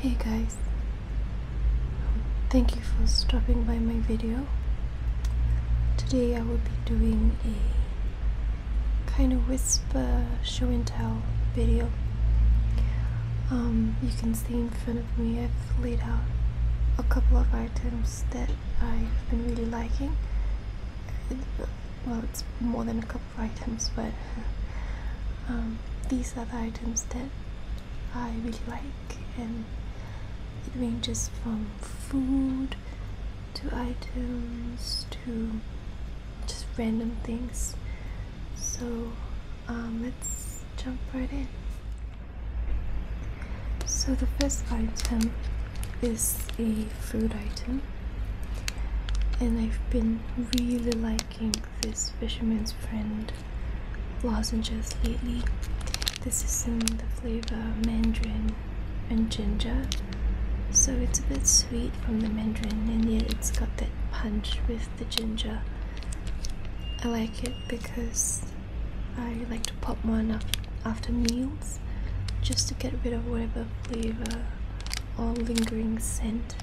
Hey guys, thank you for stopping by my video. Today I will be doing a kind of whisper show and tell video. Um, you can see in front of me I've laid out a couple of items that I've been really liking. Uh, well, it's more than a couple items, but um, these are the items that I really like, and it ranges from food to items to just random things. So um, let's jump right in. So the first item is a food item and I've been really liking this fisherman's friend lozenges lately. This is in the flavor mandarin and ginger. So it's a bit sweet from the mandarin and yet it's got that punch with the ginger. I like it because I like to pop one up after meals just to get rid of whatever flavor or lingering scent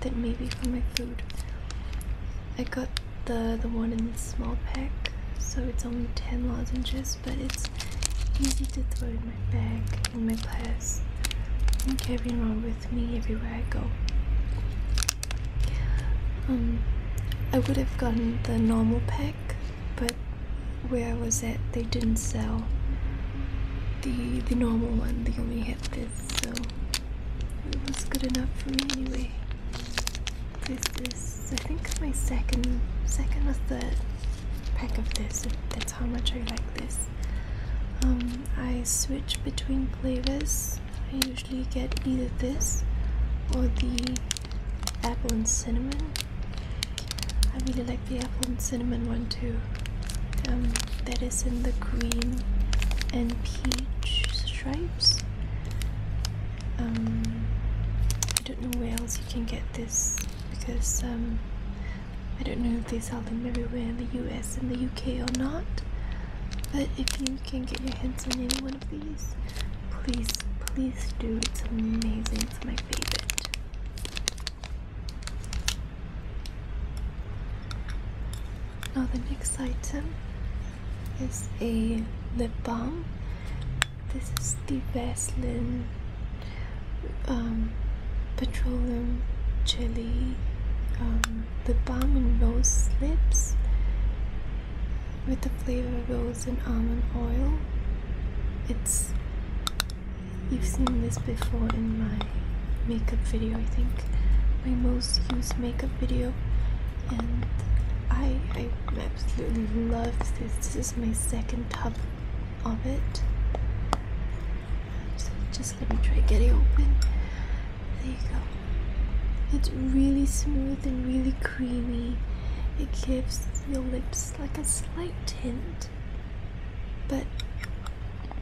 then maybe for my food. I got the the one in the small pack, so it's only 10 lozenges, but it's easy to throw in my bag, in my class, and carry around with me everywhere I go. Um, I would have gotten the normal pack, but where I was at, they didn't sell the the normal one. They only had this so it was good enough for me anyway. This is I think my second second or third pack of this. That's how much I like this. Um, I switch between flavors. I usually get either this or the apple and cinnamon. I really like the apple and cinnamon one um, that is in the green and peach stripes. Um, I don't know where else you can get this because um, I don't know if they sell them everywhere in the US and the UK or not. But if you can get your hands on any one of these, please, please do. It's amazing. It's my favorite. Now the next item is a lip balm. This is the Vaseline um, Petroleum Jelly um, Lip Balm in Rose Lips with the flavor of rose and almond oil. It's You've seen this before in my makeup video, I think. My most used makeup video. And I, I absolutely love this. This is my second tub of it. just let me try get it open. There you go. It's really smooth and really creamy. It gives your lips like a slight tint, but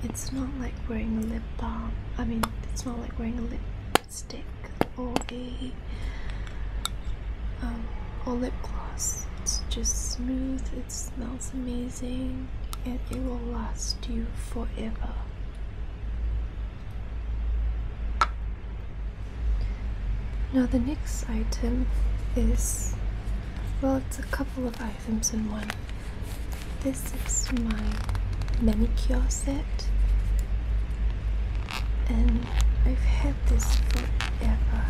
it's not like wearing a lip balm. I mean, it's not like wearing a lipstick or a um, or lip gloss. It's just smooth. It smells amazing, and it will last you forever. Now the next item is well, it's a couple of items. Simpson one. This is my manicure set, and I've had this forever.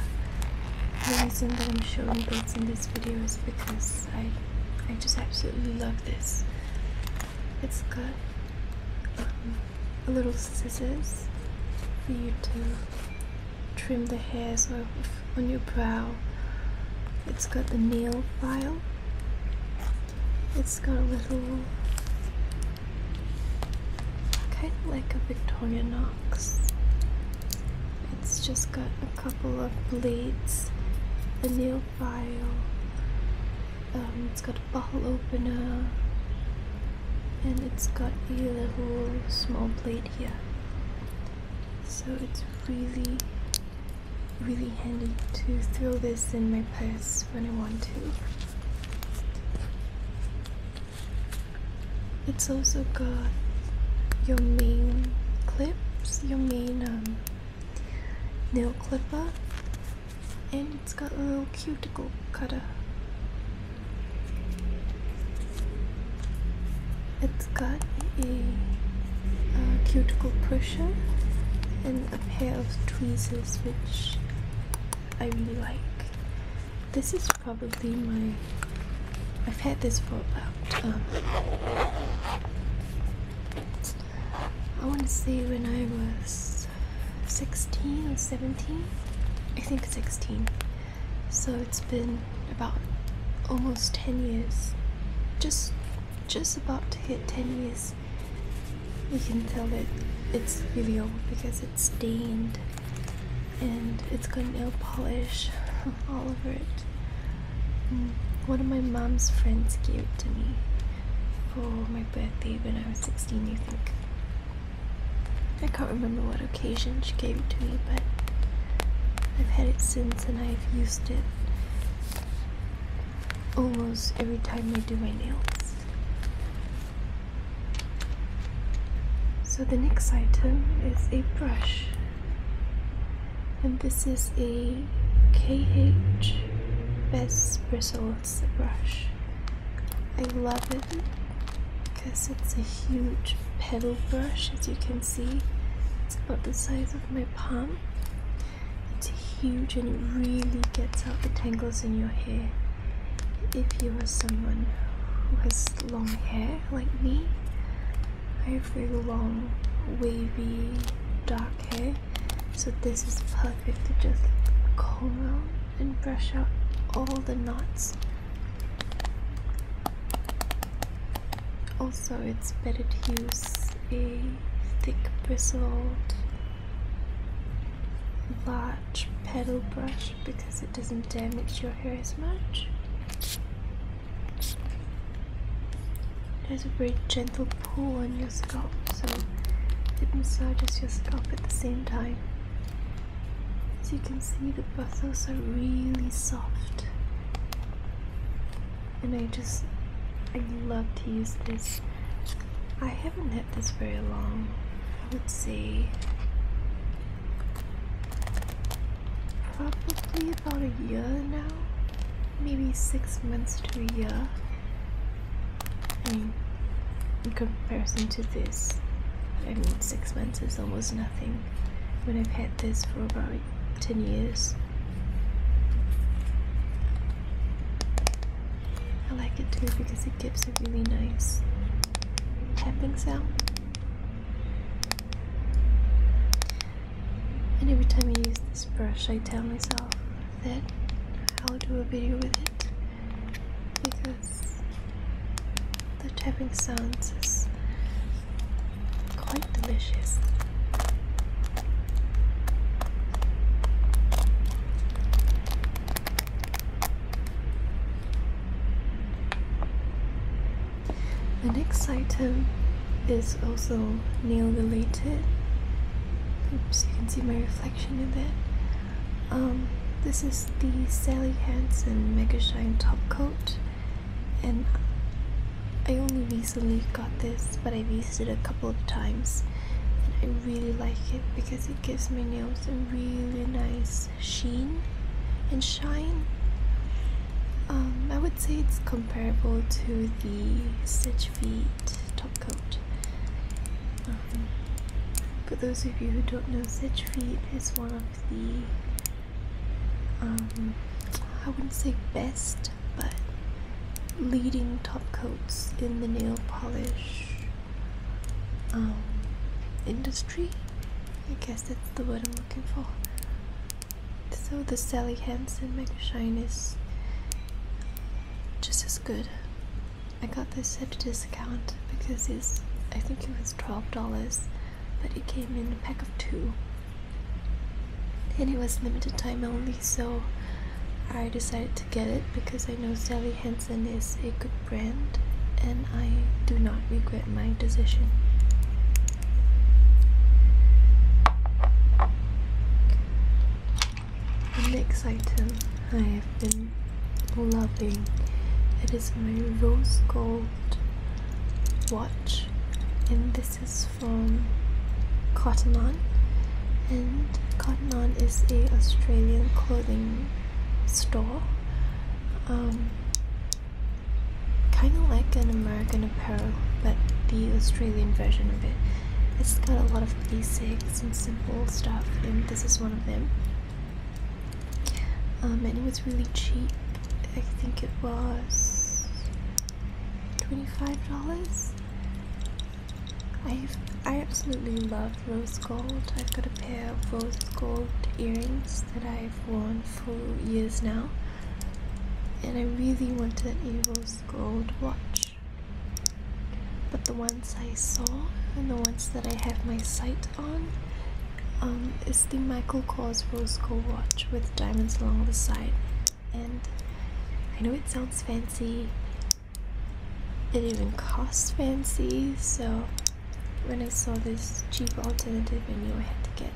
The reason that I'm showing this in this video is because I, I just absolutely love this. It's got um, little scissors for you to trim the hairs off on your brow. It's got the nail file. It's got a little, kind of like a Victoria Knox. It's just got a couple of blades, a nail file. Um, it's got a bottle opener, and it's got a little small blade here. So it's really really handy to throw this in my purse when I want to. It's also got your main clips, your main um, nail clipper, and it's got a little cuticle cutter. It's got a, cuticle pusher and a pair of tweezers which I really like. This is probably my, I've had this for about, um, I want to say when I was 16 or 17, I think 16. So it's been about almost 10 years just just about to hit 10 years you can tell that it's really old because it's stained and it's got nail polish all over it mm, one of my mom's friends gave it to me for my birthday when I was 16 You think I can't remember what occasion she gave it to me but I've had it since and I've used it almost every time I do my nails. So the next item is a brush. And this is a KH Best Bristles brush. I love it because it's a huge petal brush as you can see. It's about the size of my right palm. It's huge and it really gets out the tangles in your hair. If you are someone who has long hair like me, I have very long, wavy, dark hair, so this is perfect to just comb out and brush out all the knots. Also, it's better to use a thick bristled large petal brush because it doesn't damage your hair as much. It has a very gentle pull on your scalp, so it massages your scalp at the same time. As you can see, the bristles are really soft and I just I love to use this. I haven't had this very long. I would say probably about a year now, maybe six months to a year. I mean, in comparison to this, I mean, six months is almost nothing when I've had this for about 10 years. I like it too because it gives a really nice tapping sound. And every time I use this brush, I tell myself that I'll do a video with it because the tapping sounds is Quite delicious. The next item is also nail related. Oops, you can see my reflection in that. Um, this is the Sally Hansen Mega Shine Top Coat and I only recently got this but I've used it a couple of times and I really like it because it gives my nails a really nice sheen and shine um, I would say it's comparable to the Stitch Feet top coat um, for those of you who don't know Stitch Feet is one of the um, I wouldn't say best, but leading top coats in the nail polish um, industry. I guess that's the word I'm looking for. So the Sally Hansen Mega Shine is just as good. I got this at a discount because it's I think it was twelve dollars but it came in a pack of two. And it was limited time only, so I decided to get it because I know Sally Hansen is a good brand and I do not regret my decision. The next item I have been loving it is my rose gold watch in this this is from Cotton On, and Cotton On is a Australian clothing store, um, kind of like an American Apparel, but the Australian version of it. It's got a lot of basics and simple stuff, and this is one of them. Um, and it was really cheap. I think it was $25. dollars i I absolutely love rose gold. I've got a pair of rose gold earrings that I've worn for years now. And I really wanted a rose gold watch. But the ones I saw and the ones that I have my sight on um, um, is the Michael Kors Rose Gold watch with diamonds along the side. And I know it sounds fancy, it even costs fancy, so when I saw this cheap alternative, I knew I had to get,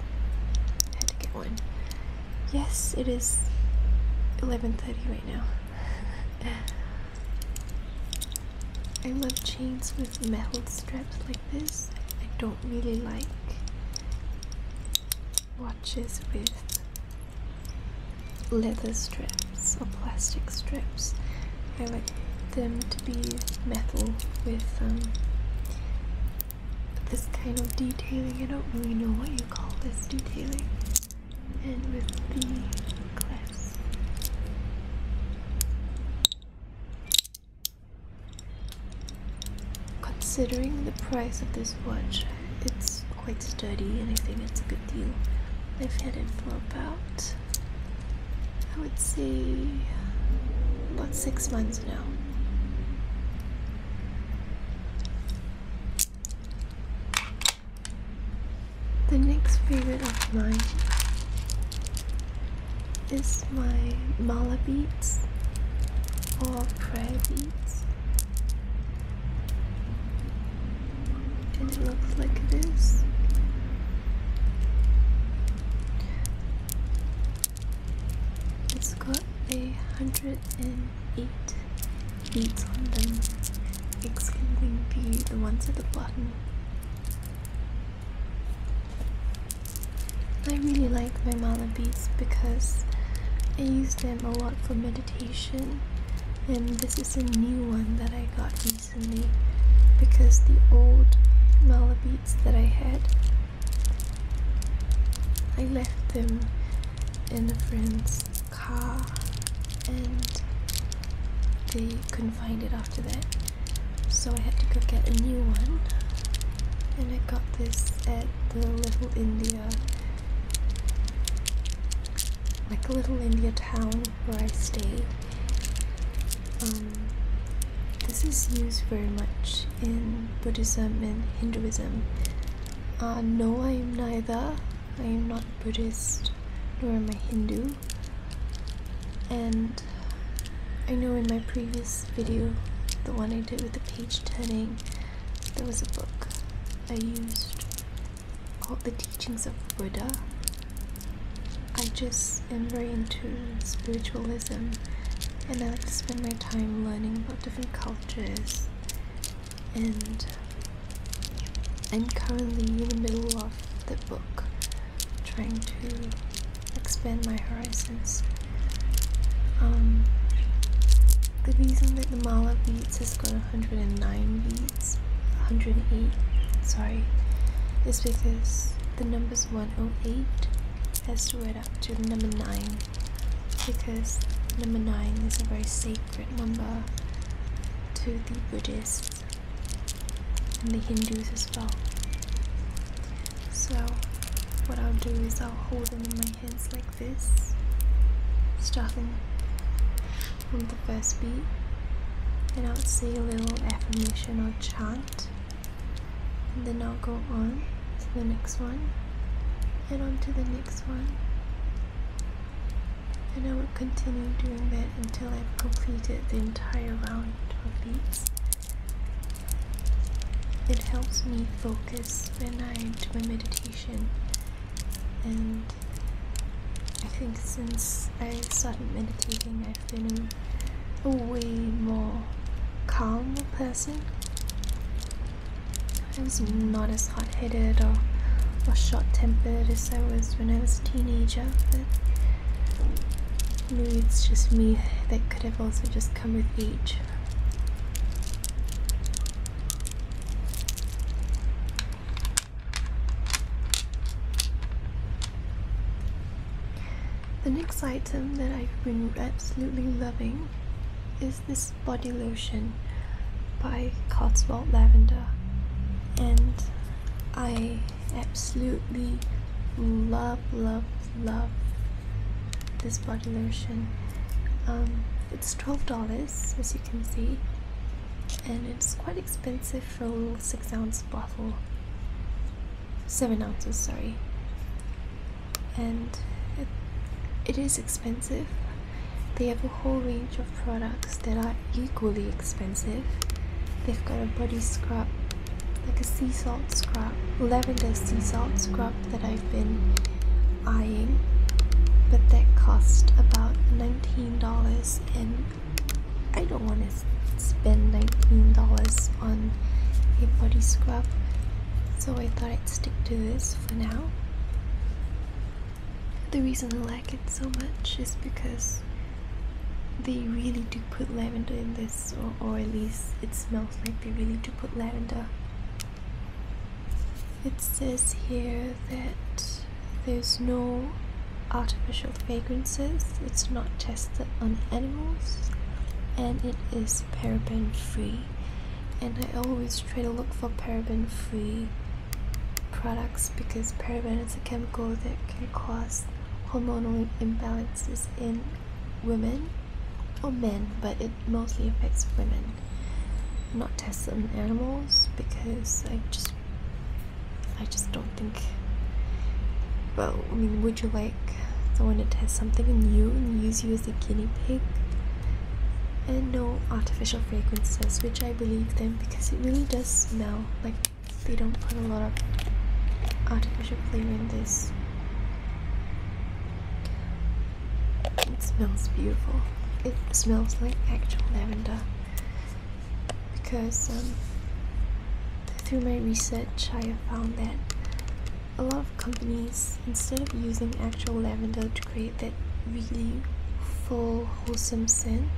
I had to get one. Yes, it is 11.30 right now. I love chains with metal straps like this. I don't really like watches with leather strips or plastic strips. I like them to be metal with um, this kind of detailing. I don't really know what you call this detailing. And with the clasp. Considering the price of this watch, it's quite sturdy and I think it's a good deal. I've had it for about, I would say, about six months now. The next favorite of mine is my mala beads or prayer beads. And it looks like this. It's got a hundred and eight beads on them, excluding the the ones at the bottom. I really like my mala beads because I use them a lot for meditation, and this is a new one that I got recently because the old mala beads that I had, I left them in a friend's car and they couldn't find it after that. So I had to go get a new one, and I got this at the Little India, like a Little India town where I stayed. Um, this is used very much in Buddhism and Hinduism. Uh, no, I am neither. I am not Buddhist nor am I Hindu. And I know in my previous video, the one I did with the page turning, there was a book I used called The Teachings of Buddha. I just am very into spiritualism and I like to spend my time learning about different cultures and I'm currently in the middle of the book trying to expand my horizons. Um, the reason that the Mala beads has got 109 beats, 108, sorry, is because the number's 108 has to add up to the number 9 because number 9 is a very sacred number to the Buddhists and the Hindus as well. So, what I'll do is I'll hold them in my hands like this, starting from the first beat, and I'll say a little affirmation or chant, and then I'll go on to the next one, and on to the next one, and I will continue doing that until I've completed the entire round of beats. It helps me focus when I do my meditation, and I think since I started meditating, I've been a, way more calm person. I was not as hot headed or, or short tempered as I was when I was a teenager, but maybe it's just me that could have also just come with age. The next item that I've been absolutely loving is this body lotion by Cotswold Lavender and I absolutely love love love this body lotion. Um, it's $12 as you can see, and it's quite expensive for a little 6 ounce bottle. 7 ounces, sorry. And it is expensive. They have a whole range of products that are equally expensive. They've got a body scrub like a sea salt scrub, lavender sea salt scrub that I've been eyeing, but that cost about $19 and I don't want to spend $19 on a body scrub so I thought I'd stick to this for now. The reason I like it so much is because they really do put lavender in this or at least it smells like they really do put lavender. It says here that there's no artificial fragrances, it's not tested on animals, and it is paraben free. And I always try to look for paraben free products because paraben is a chemical that can cause hormonal imbalances in women or men, but it mostly affects women. I'm not tested on animals because I just I just don't think well, I mean would you like someone to test something on you and use you as a guinea pig? And no artificial fragrances, which I believe them because it really does smell like they don't put a lot of artificial flavor in this. It smells beautiful. It smells like actual lavender because um, through my research I have found that a lot of companies, instead of using actual lavender to create that really full, wholesome scent,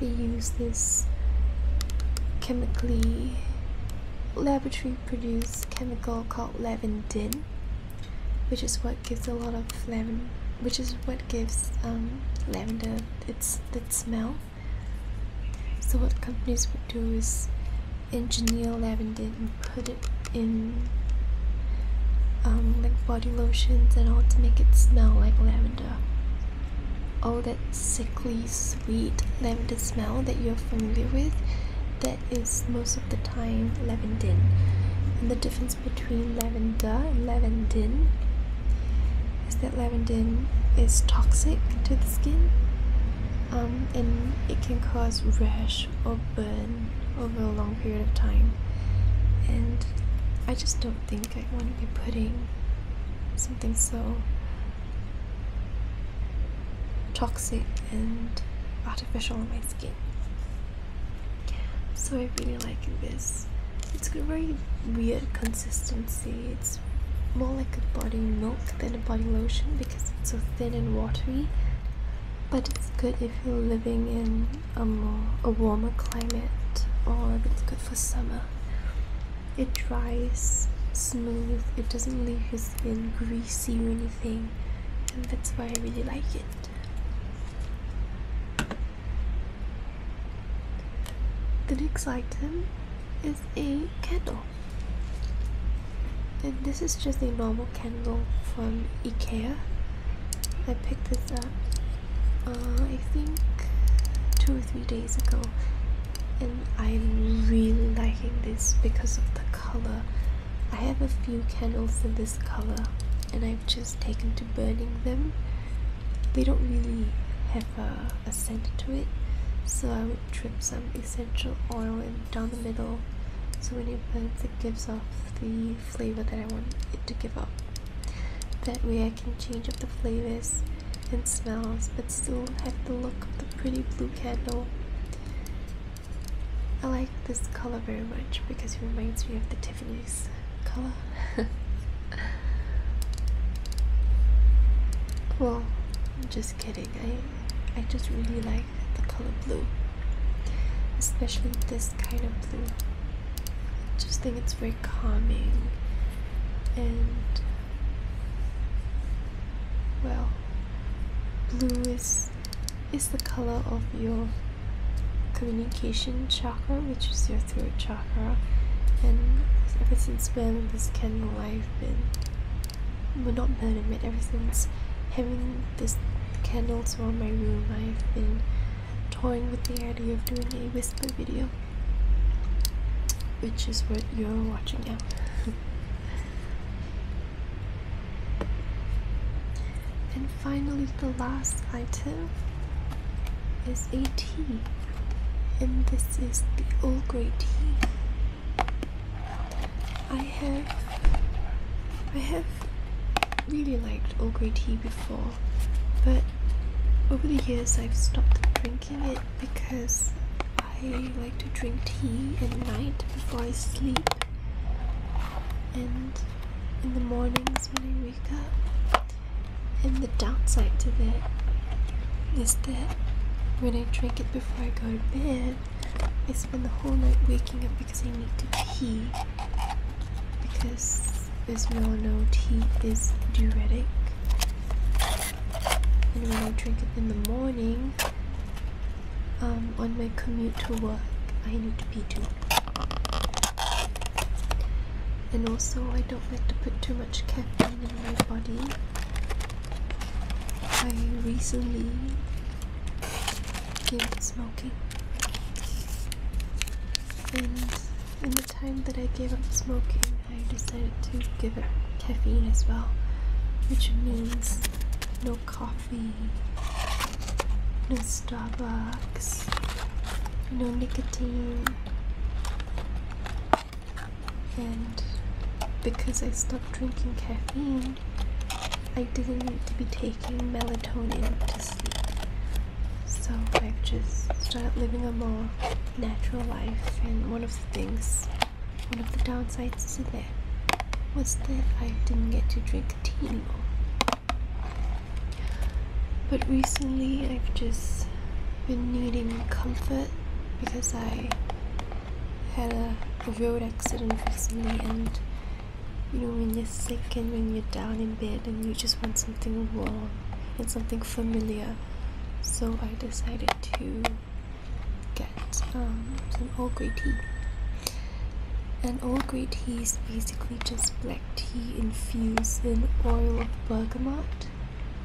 they use this chemically laboratory produce chemical called lavendin which is what gives a lot of lavender which is what gives um, lavender its that smell so what companies would do is engineer lavender and put it in um, like body lotions and all to make it smell like lavender all that sickly sweet lavender smell that you're familiar with that is most of the time lavender. and the difference between lavender and lavender is that lavender is toxic to the skin um, and it can cause rash or burn over a long period of time and I just don't think I want to be putting something so toxic and artificial on my skin. So I really like this. It's got very weird consistency. It's more like a body milk than a body lotion because it's so thin and watery. But it's good if you're living in a more a warmer climate or if it's good for summer. It dries smooth, it doesn't leave your skin greasy see or anything and that's why I really like it. The next item is a candle and this is just a normal candle from Ikea. I picked this up uh, I think two or three days ago and I'm really liking this because of the color. I have a few candles in this color and I've just taken to burning them. They don't really have a, scent to it so I would drip some essential oil down the middle so when it burns it gives off the flavor that I want it to give off. That way I can change up the flavors and smells but still have the look of the pretty blue candle I like this color very much because it reminds me of the Tiffany's color. well, I'm just kidding. I I just really like the color blue. Especially this kind of blue. I just think it's very calming and well blue is is the color of your communication chakra which is your throat chakra and ever since when this candle I've been well not been but ever since having this candles around my room I've been toying with the idea of doing a whisper video which is what you're watching now And finally, the last item is a tea, and this is the Earl Grey tea. I have, I have really liked Earl Grey tea before, but over the years I've stopped drinking it because I like to drink tea at night before I sleep and in the mornings when I wake up. And the downside to that is that when I drink it before I go to bed, I spend the whole night waking up because I need to pee. Because, as we all know, tea is diuretic and when I drink it in the morning, um, on my commute to work, I need to pee too. And also, I don't like to put too much caffeine in my body. I recently gave up smoking, and in the time that I gave up smoking, I decided to give up caffeine as well, which means no coffee, no Starbucks, no nicotine. And because I stopped drinking caffeine, I didn't need to be taking melatonin to sleep. So I've just started living a more natural life, and one of the things one of the downsides to that was that I didn't get to drink tea But recently I've just been needing comfort because I had a, road accident recently and when you're sick and when you're down in bed and you just want something warm and something familiar so I decided to get um, some Earl Grey tea. And all Grey tea is basically just black tea infused in oil of bergamot.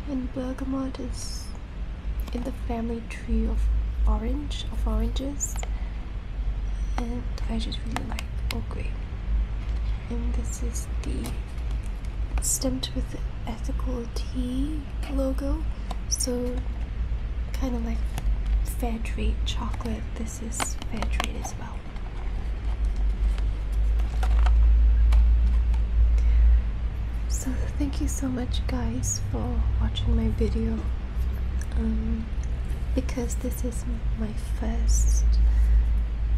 And bergamot is in the family tree of orange, of oranges. And I just really like all Grey. And this is the stamped with ethical tea logo so kind of like fair trade chocolate this is fair trade as well so thank you so much guys for watching my video um, because this is my first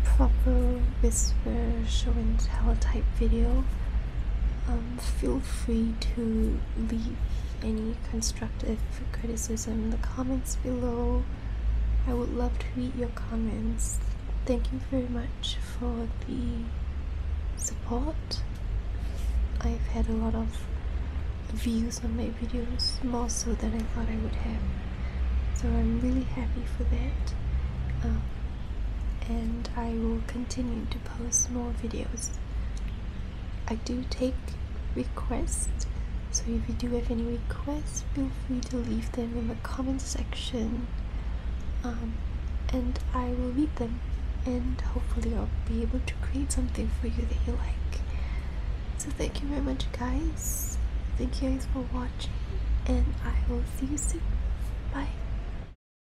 proper whisper show and tell type video um, feel free to leave any constructive criticism in the comments below. I would love to read your comments. Thank you very much for the support. I've had a lot of views on my videos, more so than I thought I would have. So I'm really happy for that. Um, and I will continue post more videos. I do take requests, so if you do have any requests, feel free to leave them in the comment section. Um, and I will read them, and hopefully, I'll be able to create something for you that you like. So, thank you very much, guys. Thank you guys for watching, and I will see you soon. Bye.